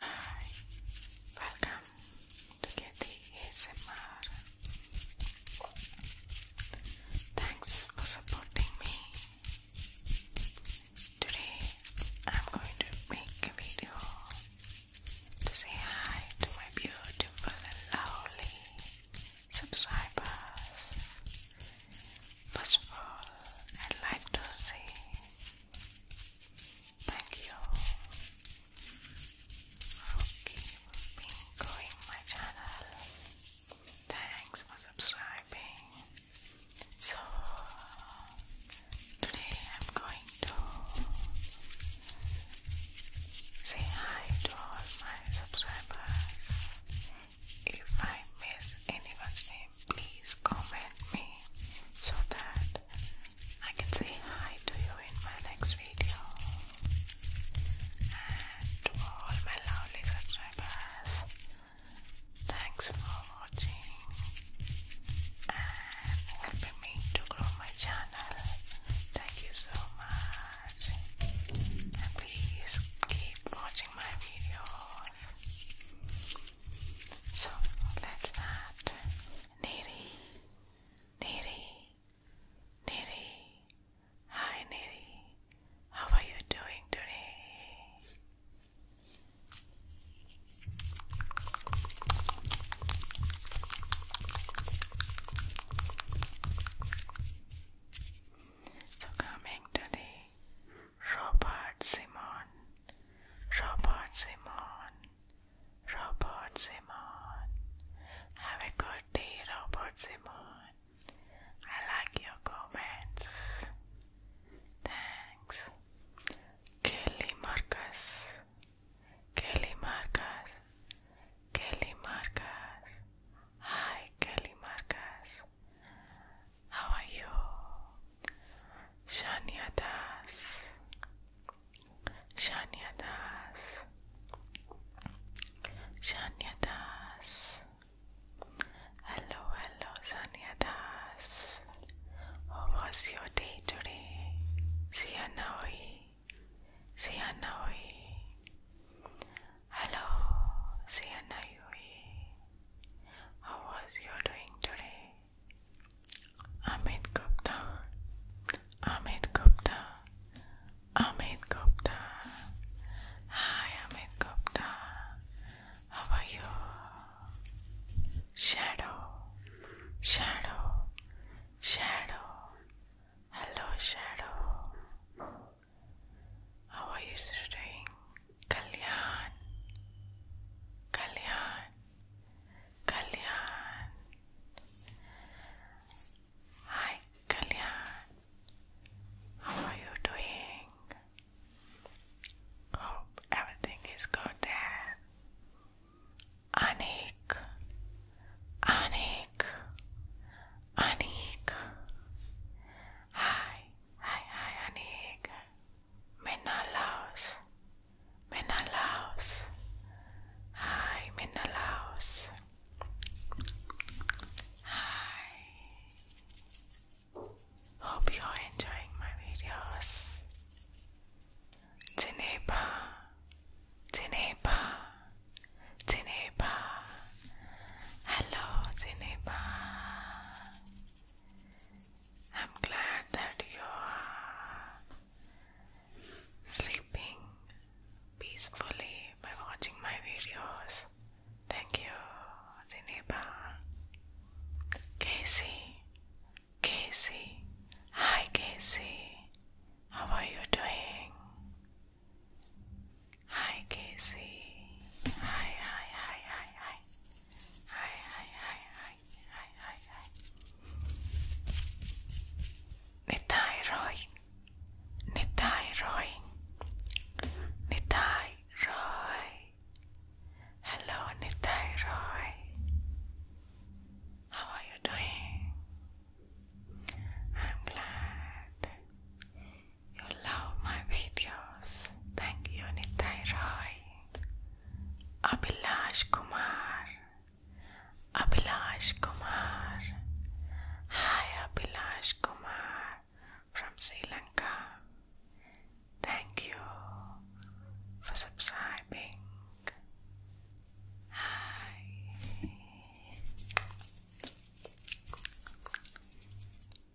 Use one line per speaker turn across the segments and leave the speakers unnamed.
Hi, welcome to Getty ASMR. Thanks for supporting me. Today I'm going to make a video to say hi to my beautiful and lovely subscribers. First of all, I'd like to say Thank you for keeping going my channel. Thanks for subscribing. So today I'm going to say hi to all my subscribers. If I miss anyone's name please comment me so that I can say hi to you in my next video. And to all my lovely subscribers, thanks for watching and helping me to grow my channel. Thank you so much. And please keep watching my videos. So let's start. Neri, Neri, Neri. Hi Neri, how are you doing today? So coming to Robert Simon Robert Simon. Robert Simon. Have a good day, Robert Simon. I like your comments. Thanks. Kelly Marcus. Kelly Marcus. Kelly Marcus. Hi, Kelly Marcus. How are you? Shaniadas, Das. Shania Das. Shania Das. Hello, hello, Shania Das. How was your day today? Sianoi. Sianoi. Hello, Sianayui. How was you doing today? Amit Gupta. Amit Gupta. Amit Gupta. Hi Amit Gupta. How are you? Shadow. Shadow. Shadow. Hello Shadow. How are you doing? Kalyan, Kalyan, Kalyan. Hi, Kalyan. How are you doing? Hope everything is good there. Anik, Anik, Anik. Hi, hi, hi, Anik. Menelaus, Menelaus. Hi, Menelaus. Hi. Hope you're enjoying my videos. Tineba, Tineba, Tineba. Hello, Tineba. I'm glad that you are sleeping peacefully by watching my videos. Thank you, Zineba. Casey, Casey, hi Casey, how are you doing? Hi, Casey. Hi, hi, hi, hi, hi. Hi, hi, hi, hi, hi, hi, hi. Nitai Roy. Nitai Roy. Nitai Roy. Hello, Nitai Roy. How are you doing? I'm glad. You love my videos. Thank you, Nitai Roy. Abhilash Kumar. Abhilash Kumar. Hi, Abhilash Kumar from Sri Lanka. Thank you for subscribing. Hi.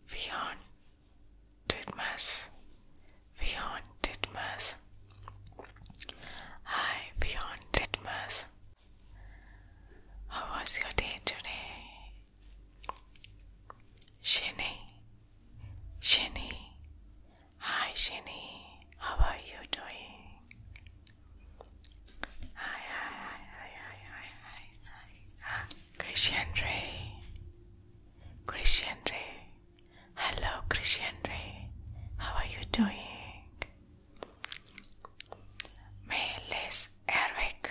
Vion Titmus Vion Titmus Hi Vion Titmus How was your day today? Shinny Shinny Hi Shinny How are you doing? hi hi hi hi hi hi hi hi Christian Ray. Christian Ray. Hello, Christian Ray. How are you doing? Melis Erwick.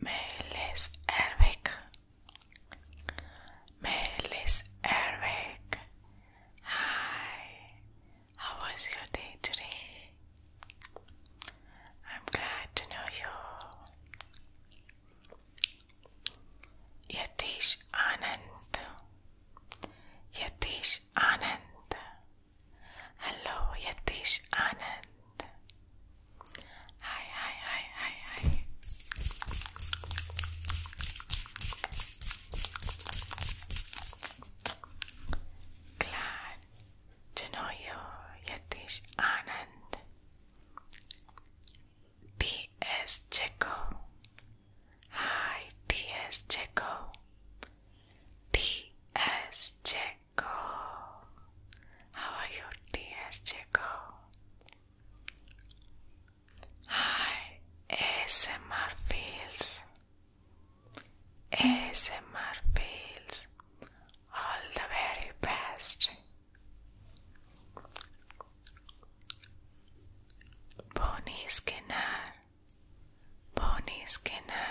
Melis Erwick. Melis Erwick. Hi. How was your day today? I'm glad to know you. Yatish Anand. Yatish Anand. Hello, Yatish Anand. Hi, hi, hi, hi, hi glad to know you, Yatish Anand. T.S. Checo. Hi, T.S. Checo. T.S. Checo. How are you, T.S. Checo? Hi, ASMR Fields. ASMR fails all the very best. Bonnie Skinner, Bonnie Skinner.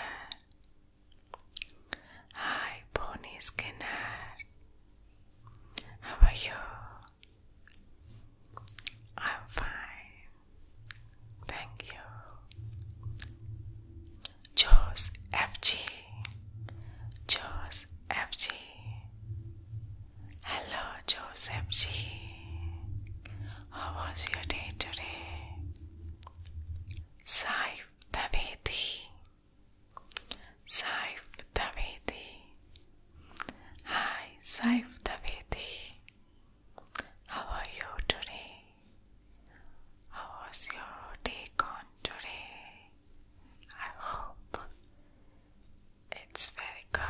Hi, Bonnie Skinner. How are you? I'm fine. Thank you. Jaws FG. Hello, Joseph G. How was your day today? Saif Daveti. Saif Daveti. Hi, Saif Daveti. How are you today? How was your day gone today? I hope it's very good.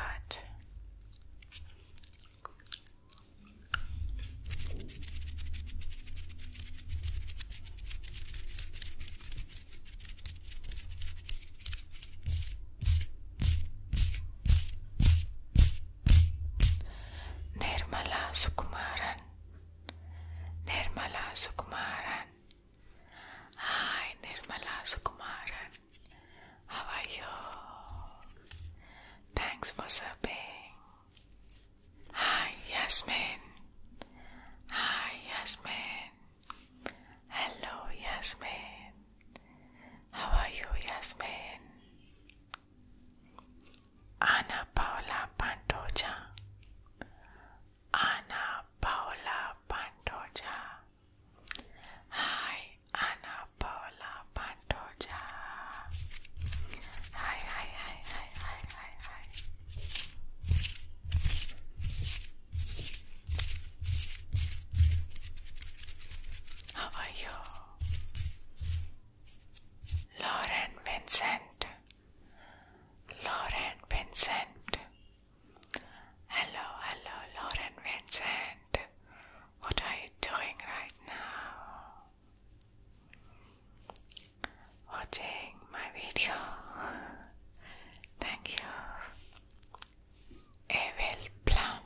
Nirmala Sukumaran. Nirmala Sukumaran. Hi, Nirmala Sukumaran. How are you? Thanks for serving. Hi, Yasmin. Hi, Yasmin. Hello, Yasmin. How are you, Yasmin? Ana Paula Pantoja. Ana Paula Pantoja. Hi, Ana Paula Pantoja. Hi, hi, hi, hi, hi, hi, hi. How are you? Lauren Vincent. Lauren Vincent. Hello, hello, Lauren Vincent. What are you doing right now? Watching my video. Thank you. Evel Plum,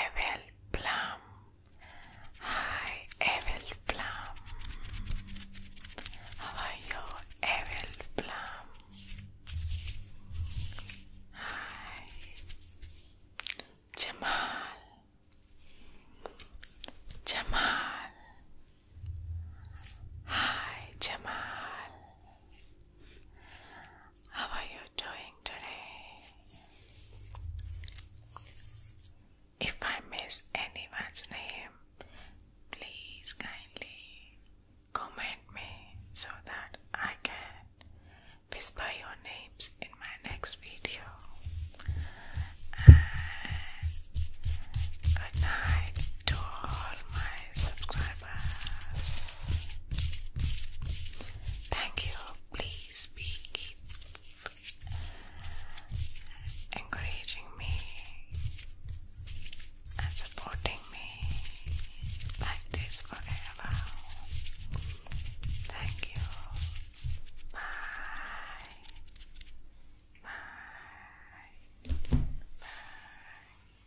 Evel Plum, hi Evel Plum, how are you Evel Plum, hi Jamal, Jamal, hi Jamal. How are you doing today? If I miss anyone's name, please kindly comment me so that I can whisper your names in my next video. good night to all my subscribers. Thank you. Please keep encouraging me and supporting me like this forever. Thank you. Bye. Bye. Bye.